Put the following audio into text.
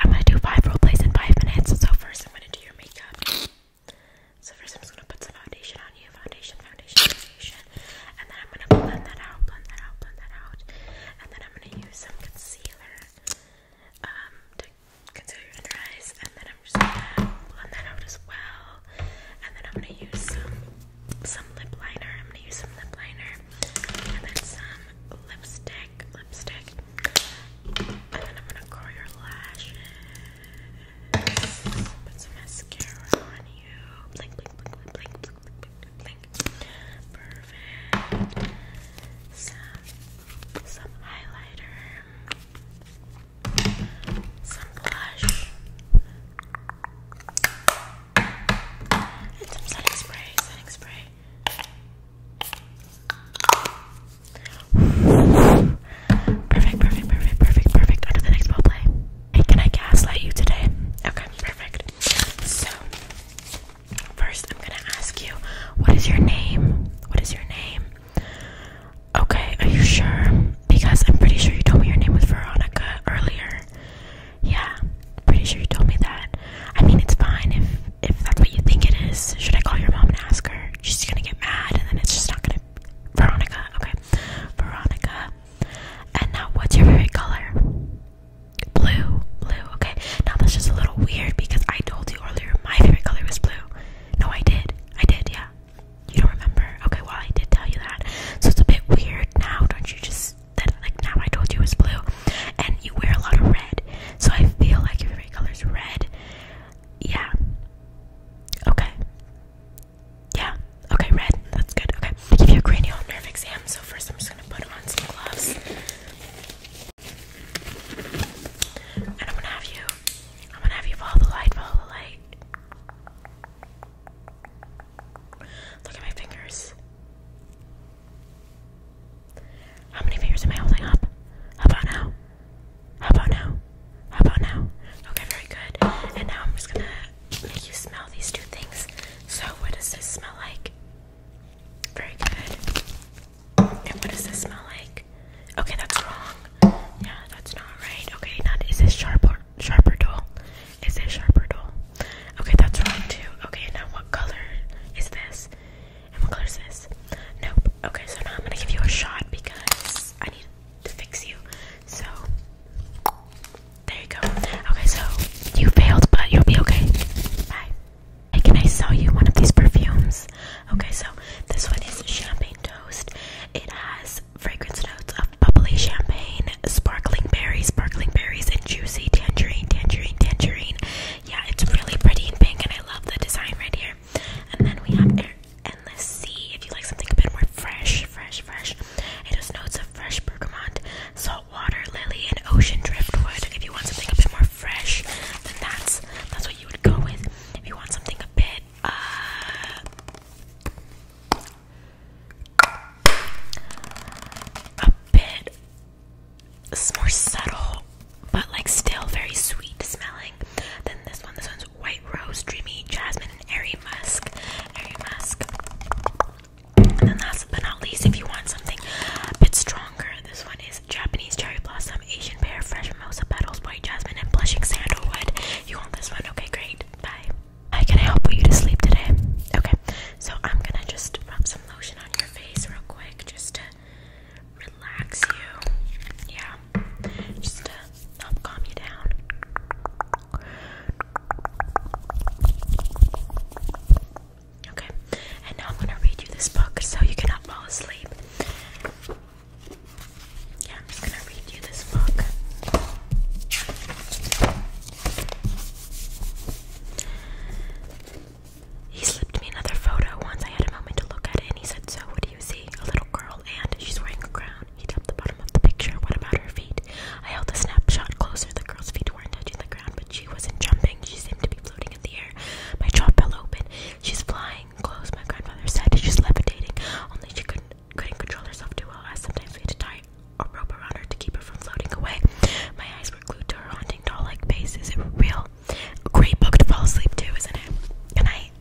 I'm gonna do five role plays in five minutes. So first, I'm gonna do your makeup. So first, I'm just gonna put some foundation on you, foundation, foundation, foundation, and then I'm gonna blend that out, blend that out, blend that out, and then I'm gonna use some concealer um, to conceal your under eyes, and then I'm just gonna blend that out as well. And then I'm gonna use some some lip liner. I'm gonna use some lip liner and then some lipstick, lipstick. And then I'm gonna curl your lashes. Put some mascara on you. Blink, blink, blink, blink, blink, blink, blink, Perfect. Some some highlighter some blush, and some setting spray, setting spray. Perfect, perfect, perfect, perfect, perfect. On the next role play. Hey, can I gaslight you today? Okay, perfect. So, first I'm gonna ask you, what is your name? What is your name? Okay, are you sure? Because I'm pretty sure you told me your name was Veronica earlier. Yeah, pretty sure you told me that. I mean, it's fine if if that's what you think it is. Should I call your mom and ask her? She's gonna get mad, and then it's just not gonna. Veronica, okay, Veronica. And now, what's your favorite color? Blue, blue. Okay, now that's just a little weird because I told you earlier my favorite color was blue. No, I did. I did. Yeah. You don't remember? Okay, well, I did tell you that. So it's a bit weird now, don't you? Just that, like, now I told you it's blue. And you wear a lot of red. So I feel like your favorite color is red. Yeah. Okay. Yeah. Okay, red. That's good. Okay. I give you a cranial nerve exam. So first, I'm just going to put on some gloves. And I'm gonna have you, I'm gonna have you follow the light, follow the light. Look at my fingers. How many fingers am I holding up? How about now? How about now? How about now? Okay, very good. And now I'm just gonna make you smell these two things. So, what does this smell like? Very good. And what does this smell like? Okay, that's wrong. Yeah, that's not right. Okay, not is this sharp or sharper dull? Is this sharper dull? Okay, that's wrong too. Okay, now what color is this? And what color is this? Nope. Okay, so now I'm gonna give you a shot because I need to fix you. So there you go. Okay, so you failed, but you'll be okay. Bye. Hey, can I sell you one of these perfumes? Okay, so this one is champagne toast. It has fragrance notes of bubbly champagne, sparkling berries, sparkling berries, and juicy tangerine, tangerine, tangerine. Yeah, it's really pretty and pink, and I love the design right here. And then we have Endless Sea. If you like something a bit more fresh, fresh, fresh, it has notes of fresh bergamot, salt water lily, and ocean driftwood. If you want something a bit more fresh, then that's that's what you would go with if you want something a bit uh, a bit it's more subtle but like still very sweet smelling than this one. This one's white rose, dreamy jasmine, and airy musk. Airy musk. And then last but not least, if you want something a bit stronger this one is Japanese cherry blossom, Asian pear, fresh mimosa petals, white jasmine, and blushing sandalwood. You want this one? Okay, great. Bye. I can help put you to sleep today? Okay, so I'm gonna just rub some lotion on your face real quick just to relax you. Yeah, just to calm you down. Okay, and now I'm gonna read you this book so you cannot fall asleep. Yeah, I'm just gonna read you this book. He slipped me another photo once. I had a moment to look at it, and he said, So, what do you see? A little girl, and she's wearing a crown. He tapped the bottom of the picture. What about her feet? I held the snapshot closer. The girl's feet weren't touching the ground, but she wasn't jumping. She seemed to be floating in the air. My jaw fell open. She's flying close, my grandfather said. She's levitating. Only she couldn't couldn't control herself too well, I sometimes we had to tie a rope around her to keep her from floating away. My eyes were glued to her haunting doll-like face. Is it real? A great book to fall asleep to, isn't it? Good night.